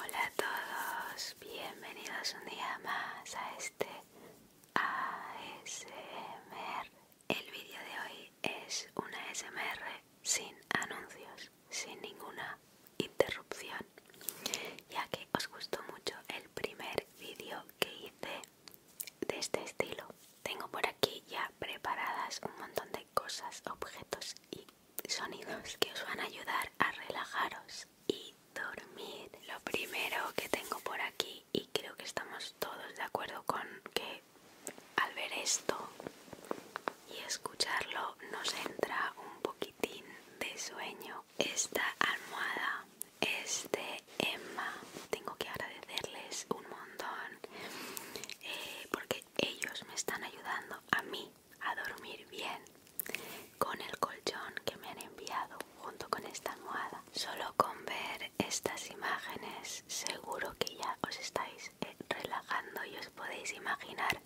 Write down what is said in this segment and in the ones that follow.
Hola a todos, bienvenidos un día más a este ASMR. El vídeo de hoy es un ASMR sin anuncios, sin ninguna interrupción, ya que os gustó mucho el primer vídeo que hice de este estilo. Tengo por aquí ya preparadas un montón de cosas, objetos y sonidos que os van a ayudar a relajaros y dormir. Lo primero que tengo por aquí, y creo que estamos todos de acuerdo con que al ver esto y escucharlo nos entra un poquitín de sueño, esta almohada es de Emma. Tengo que agradecerles un montón eh, porque ellos me están ayudando a mí a dormir bien con el colchón que me han enviado junto con esta almohada. Solo con ver estas imágenes seguro que ya os estáis eh, relajando y os podéis imaginar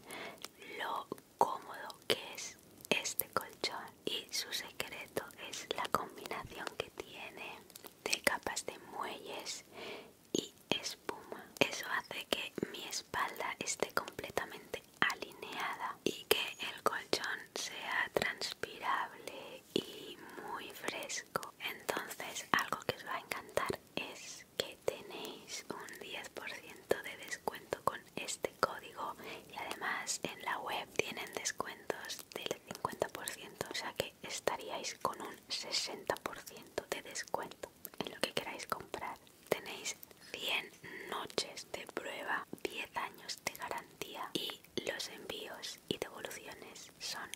lo cómodo que es este colchón y su secreto es la combinación que tiene de capas de muelles y espuma. Eso hace que mi espalda esté completamente alineada y que el colchón sea transpirable y muy fresco. Entonces algo que os va a encantar es que tenéis un 10% de descuento con este código y además en la web tienen descuentos del 50%, o sea que estaríais con un 60% de descuento en lo que queráis comprar. Tenéis 100 noches de prueba, 10 años de garantía y los envíos y devoluciones son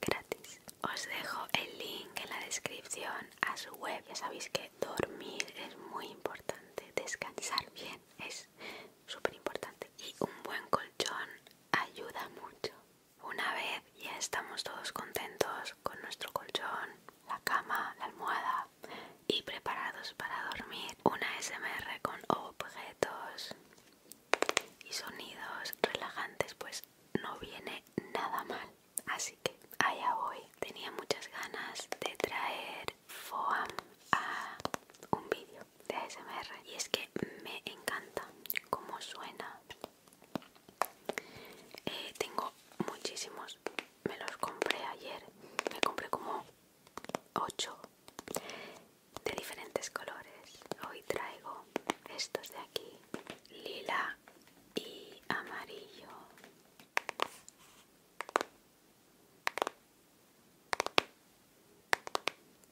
gratis. Os dejo el link en la descripción a su web. Ya sabéis que dormir es muy importante, descansar bien es súper importante. Y un buen colchón ayuda mucho. Una vez ya estamos todos contentos con nuestro colchón, la cama, la almohada y preparados para dormir, una SMR con objetos y sonidos relajantes, pues no viene nada mal. Así que allá voy. Tenía muchas ganas de traer FOAM a un vídeo de ASMR y es que me encanta cómo suena. Eh, tengo muchísimos, me los compré ayer, me compré como 8 de diferentes colores. Hoy traigo estos de aquí, lila y amarillo.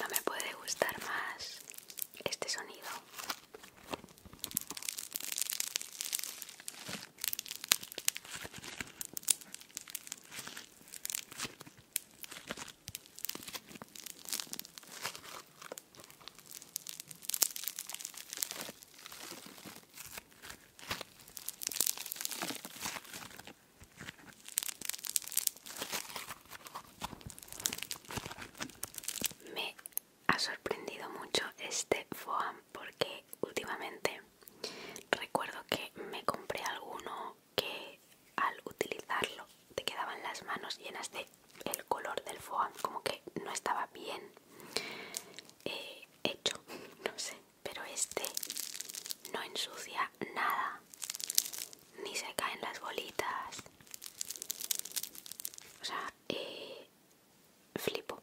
No me puede gustar más este sonido. Me ha sorprendido mucho este foam porque últimamente recuerdo que me compré alguno que al utilizarlo te quedaban las manos llenas de el color del foam como que no estaba bien eh, hecho no sé pero este no ensucia nada, ni se caen las bolitas. O sea, eh, flipo.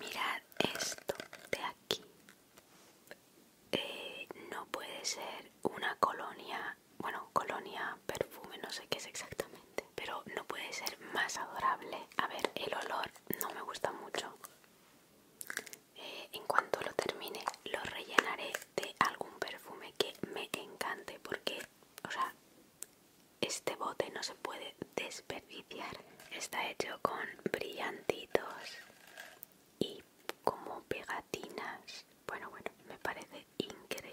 Mirad esto de aquí eh, no puede ser una colonia, bueno, colonia, perfume, no sé qué es exactamente, pero no puede ser más adorable. A ver, el olor no me gusta mucho. Eh, en cuanto lo termine, lo rellenaré de algún perfume que me encante, porque, o sea, este bote no se puede desperdiciar. Está hecho con brillantitos y como pegatinas. Bueno, bueno, me parece increíble.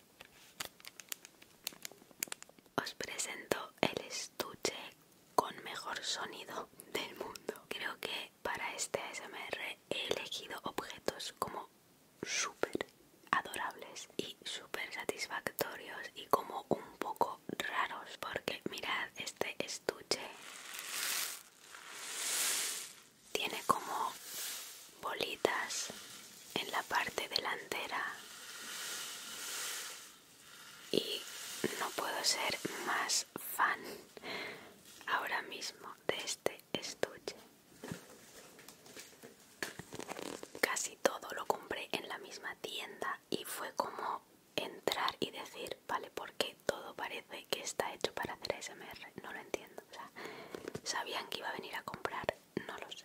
Os presento el estuche con mejor sonido del mundo. Creo que para este ASMR he elegido objetos como súper adorables y súper satisfactorios y como un poco raros porque mirad este estuche tiene como bolitas en la parte delantera y no puedo ser más fan ahora mismo de este estuche casi todo lo compré en la misma tienda y fue como entrar y decir vale porque todo parece que está hecho para hacer ASMR no lo entiendo sabían que iba a venir a comprar no lo sé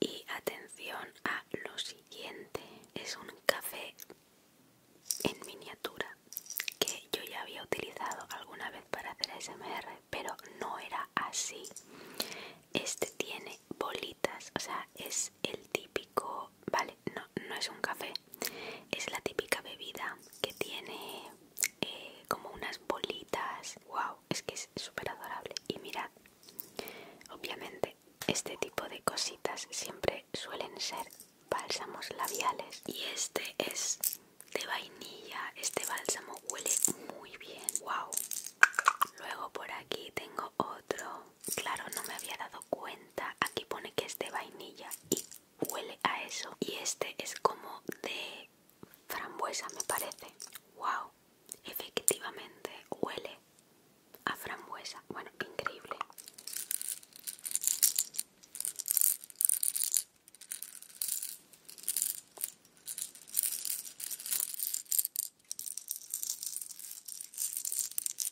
Y atención a lo siguiente, es un café en miniatura que yo ya había utilizado alguna vez para hacer SMR, pero no era así. Este tiene bolitas, o sea, es el típico, vale, no no es un café, es la típica bebida que tiene eh, como unas bolitas. ¡Wow! Es que es súper adorable. Y mirad, obviamente, este tipo de cositas siempre suelen ser bálsamos labiales. Y este es de vainilla, este bálsamo huele muy bien. ¡Wow! Luego por aquí tengo otro. Claro, no me había dado cuenta. Aquí pone que es de vainilla y huele a eso. Y este es como de frambuesa, me parece. ¡Wow! Efectivamente huele a frambuesa. Bueno, increíble.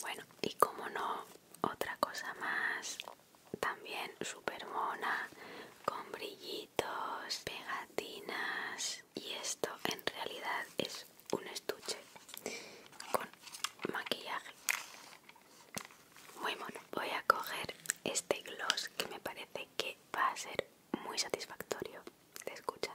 Bueno, y como no, otra cosa más, también súper mona, con brillitos, pegatinas, y esto en realidad es un estuche con maquillaje. Muy mono. Voy a coger este gloss que me parece que va a ser muy satisfactorio de escuchar.